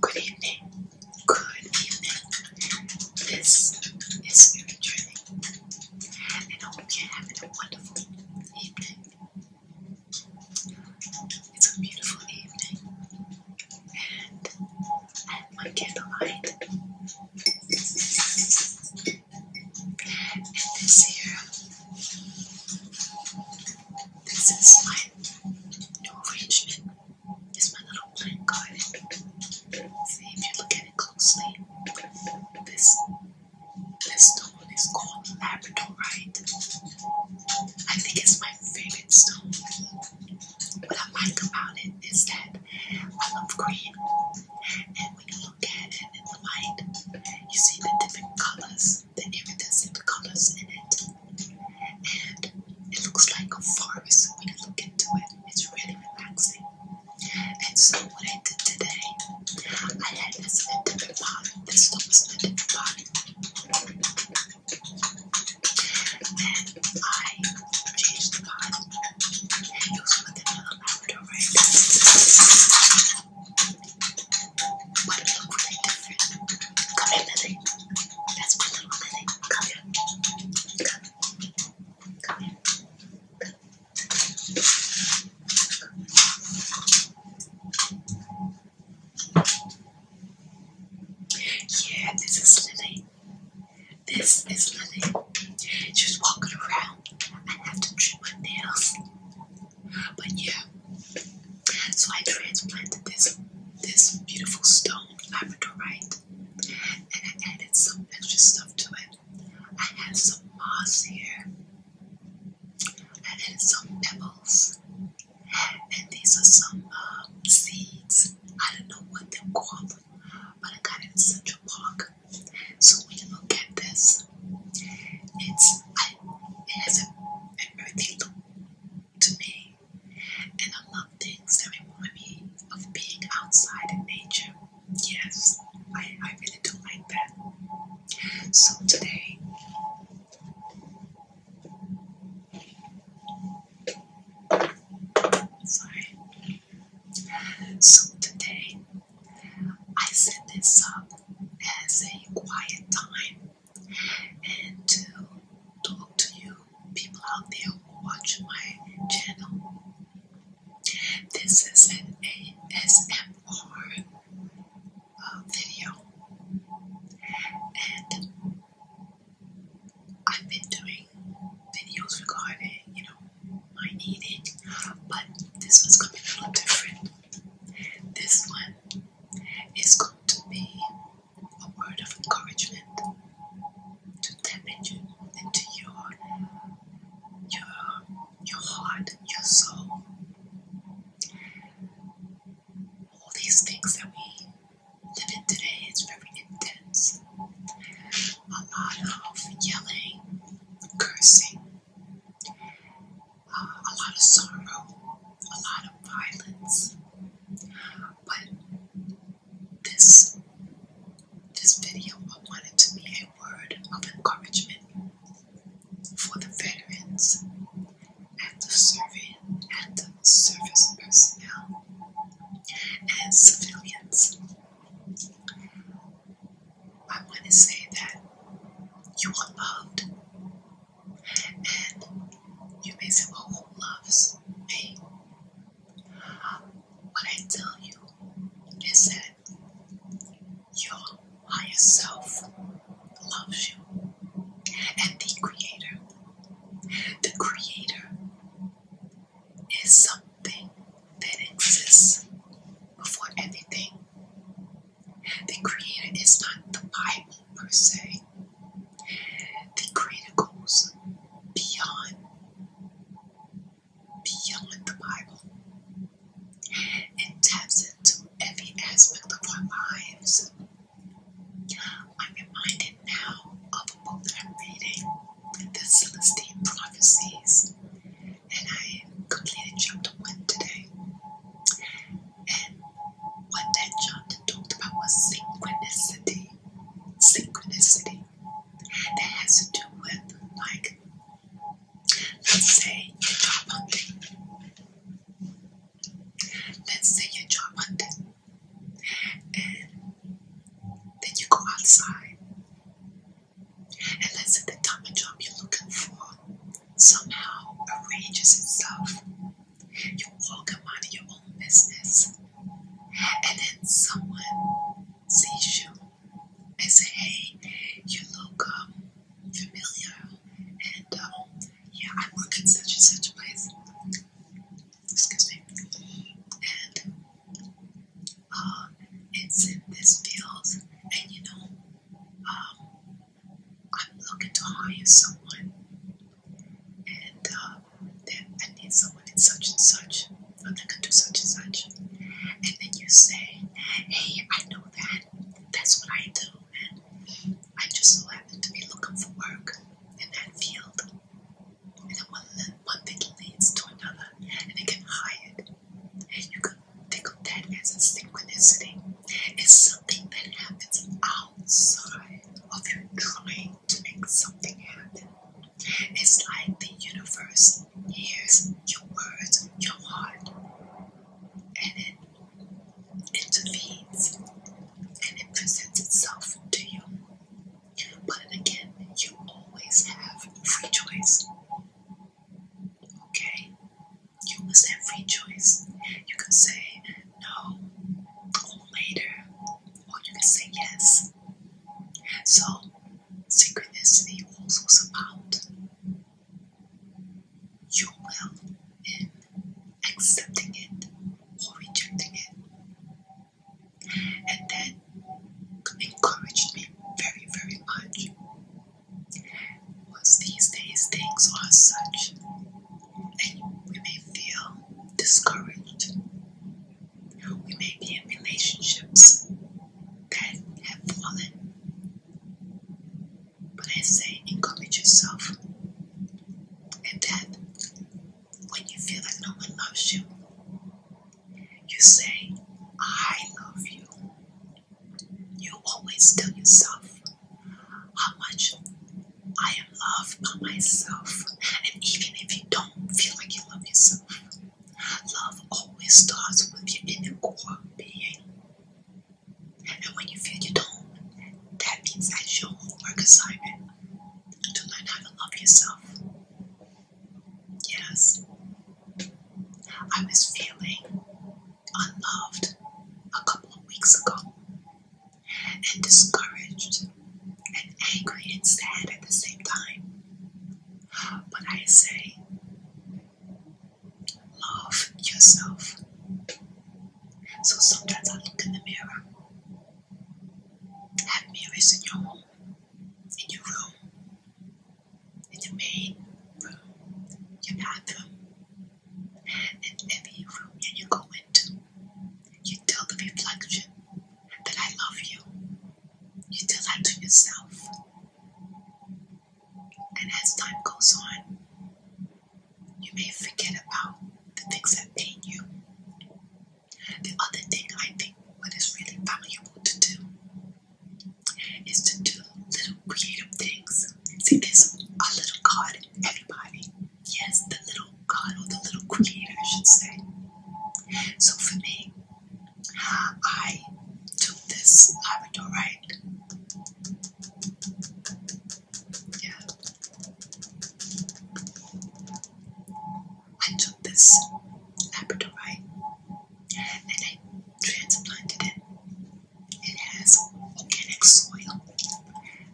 Good evening. Good evening. This is Mary Trinity, and I hope you a wonderful evening. It's a beautiful evening, and I have my and this here, this is my new arrangement. It's my little plant garden. See if you look at it closely. This this stone is called labradorite. I think it's my favorite stone. What I like about it is that I love green, and when look in the light, you see the different colors, the iridescent colors in it. And it looks like a forest when you look into it. It's really relaxing. And so what I did today, I had this in a different pot. This one was in a pot. And I changed the pot. It was another lavender, Come here, Lily. That's my Lily. Come here. Come. Yeah, this is Lily. This is Lily. She's walking around. I have to trim her nails. But yeah, so I transplanted this this beautiful stone labradorite, and I added some extra stuff to it. I had some moss here, I added some pebbles, and these are some uh, seeds. I don't know what they're called, but I got it in Central Park. So we look at this. It's it has a, earthy look to me, and I love things that remind of being outside in nature. Yes, I, I really do like that. So today. So today I set this up as a quiet time and to talk to you people out there who watch my channel. This is an ASMR uh, video and I've been doing videos regarding, you know, my eating, but this one's gonna be a little different. This one is going to be a word of encouragement to tap into, into your your your heart, your soul. All these things that we live in today is very intense. A lot of yelling, cursing, uh, a lot of sorrow, a lot of violence. But this this video, I wanted to be a word of encouragement for the veterans and the serving and the service personnel and civilians. I want to say that you are loved. And you may say, well, who loves me? But I tell you is that your higher self loves you. And the Creator. The Creator is something that exists before everything. The creator is not the Bible per se. The creator goes beyond beyond the Bible and taps into every aspect of our lives. I'm reminded now of a book I'm reading, The Celestine Prophecies and I completed chapter one today. And what that chapter talked about was synchronicity. Synchronicity. That has to do with, like, let's say you're job hunting. Let's say you're job hunting. And then you go outside. And let's say the type of job you're looking for somehow arranges itself. You walk and your own business, and then someone sees you and say, "Hey, you look um, familiar," and um, yeah, I work in such and such a place. Excuse me, and uh, it's in this field, and you know, um, I'm looking to hire someone, and um, then I need someone in such and such, or that can do such and such. And then you say, "Hey, I know that. That's what I do, and I just so happen to be looking for work in that field." And then one, one thing leads to another, and they get hired and you can think of that as a synchronicity. It's something that happens outside of your trying to make something happen. It's like the universe hears your words, your heart, and it intervenes and it presents itself to you. But again, you always have free choice. Okay? you must have free choice. You can say no or later, or you can say yes. And So, synchronicity also is about your will in accepting it or rejecting it. And that encouraged me very, very much was these days things are such, that we may feel discouraged. We may be in relationships that have fallen. But I say, encourage yourself. And that when you feel like no one loves you, you say, I love you. You always tell yourself, how much I am loved by myself. And even if you don't feel like you love yourself, love always starts with your inner core being. And when you feel you don't, that means that's your homework assignment to learn how to love yourself. Yes. I was feeling unloved a couple of weeks ago, and discouraged and angry and sad at the same time. But I say, love yourself. So sometimes I look in the mirror. Have mirrors in your home, in your room, in your main room, your bathroom, in every room you go into. You tell the reflection that I love you. You tell that to yourself. And as time goes on, you may forget about the things that pain you. The other thing I think what is really valuable to do is to do little creative things. See, there's a little God, everybody. Yes, the little God or the little creator, I should say. So for me, I took this Labrador, Yeah. I took this Labradorite and I transplanted it it has organic soil.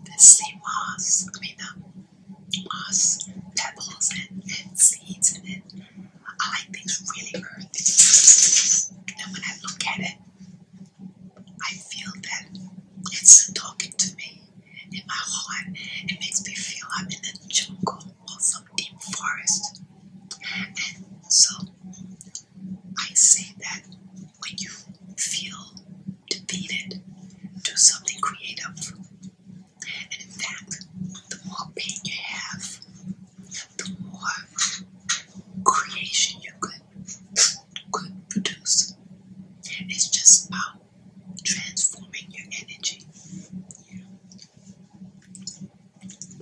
The same moss, I mean the moss, pebbles and, seeds in it. I like things really earthy. And when I look at it, I feel that it's talking to me in my heart. It makes me feel I'm in a jungle or some deep forest. And so I say that when you feel defeated, do something creative. And in fact, the more pain you have, the more creation you could could produce. It's just about transforming your energy.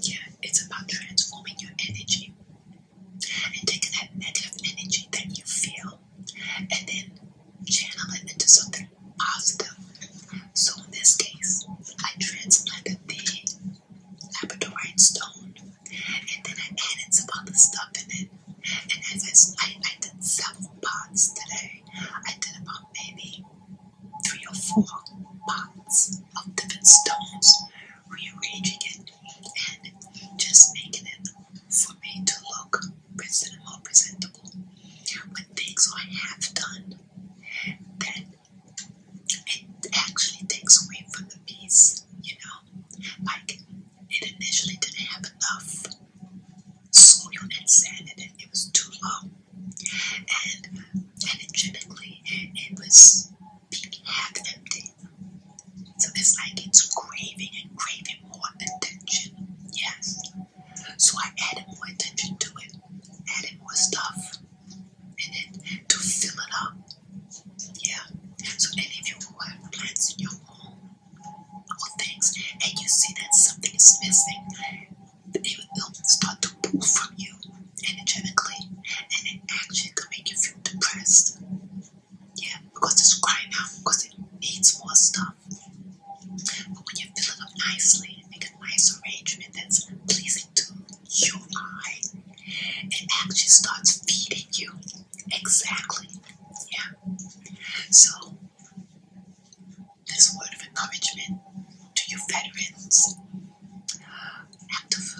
Yeah, it's about transforming your energy and taking that negative energy that you feel and then channel it into something positive. So in this case, I transplanted the labradorite stone and then I added some other stuff in it. And as I, I did several pots today, I did about maybe three or four pots of different stones rearranging it and just making it for me to look present more presentable. When things are half done, then it actually takes away from the piece, you know? Like it initially didn't have enough soil and sand and it, was too low. And energetically it was being half empty. So it's like it's craving and craving more attention. Yes. So I added more attention to it, added more stuff, and it to fill it up. Yeah. So any of you who have plants in your home or things, and you see that something is missing, it will start to pull from you energetically, and it actually can make you feel depressed. Yeah, because it's crying out because it needs more stuff. But when you fill it up nicely and make a nice arrangement that's pleasing to your eye, it actually starts feeding you. Exactly. Yeah. So, this word of encouragement to your veterans, active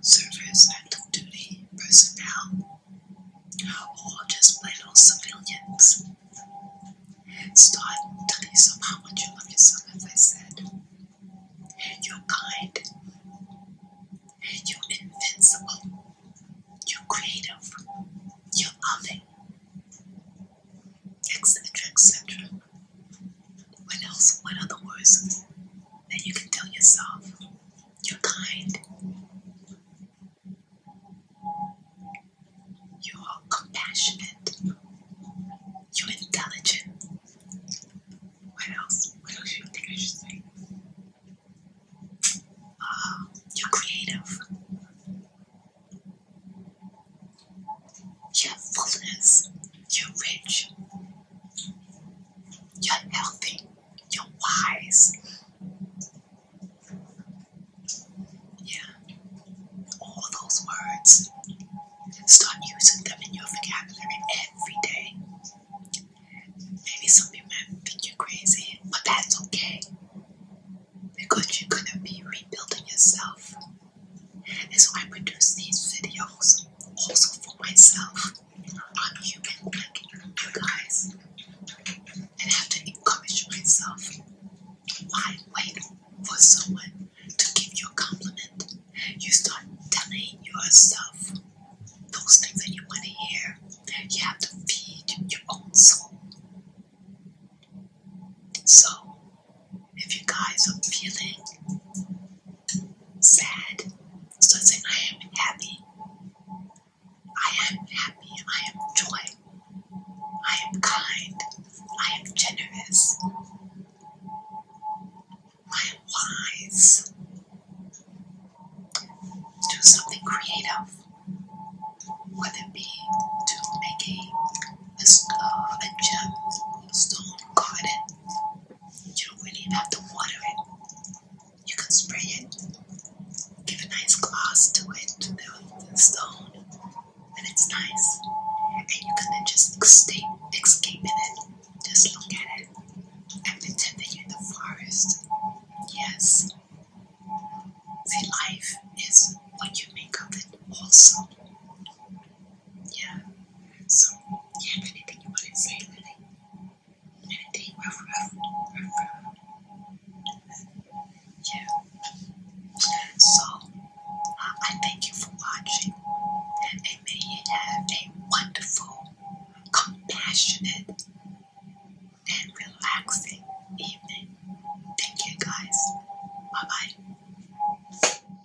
service and duty personnel, or just plain old civilians. Start telling yourself how much you love yourself, as I said. You're kind, you're invincible, you're creative, you're loving, etc. etc. What else? What other words that you can tell yourself? You're kind. You're compassionate. You're intelligent. What else? What else do you think I should say? Uh, you're creative. You're fullness. You're rich. You're healthy. You're wise. Yeah. All those words. Start using them in your vocabulary every day. Maybe some people might think you're crazy, but that's okay. Because you're gonna be rebuilding yourself. And so I produce these videos also for myself on human guys. And have to encourage myself. Why wait for someone to give you a compliment? You start telling yourself those things that you want to hear. You have to feed your own soul. So, if you guys are feeling sad, so it's saying, I am happy. I am happy. I am joy. I am kind. I am generous. I am wise. Do something creative. Whether it be to make a, uh, a gem stone garden. You don't really have to water it you can spray it, give a nice gloss to it, to the stone, and it's nice. And you can then just escape, escape in it. Just look at it and pretend that you in the forest. Yes. The life is what you make of it, also. Yeah. So, do you have anything you want to say, Lily? Yeah. So, I thank you for watching, and may you have a wonderful, compassionate, and relaxing evening. Thank you, guys. Bye bye.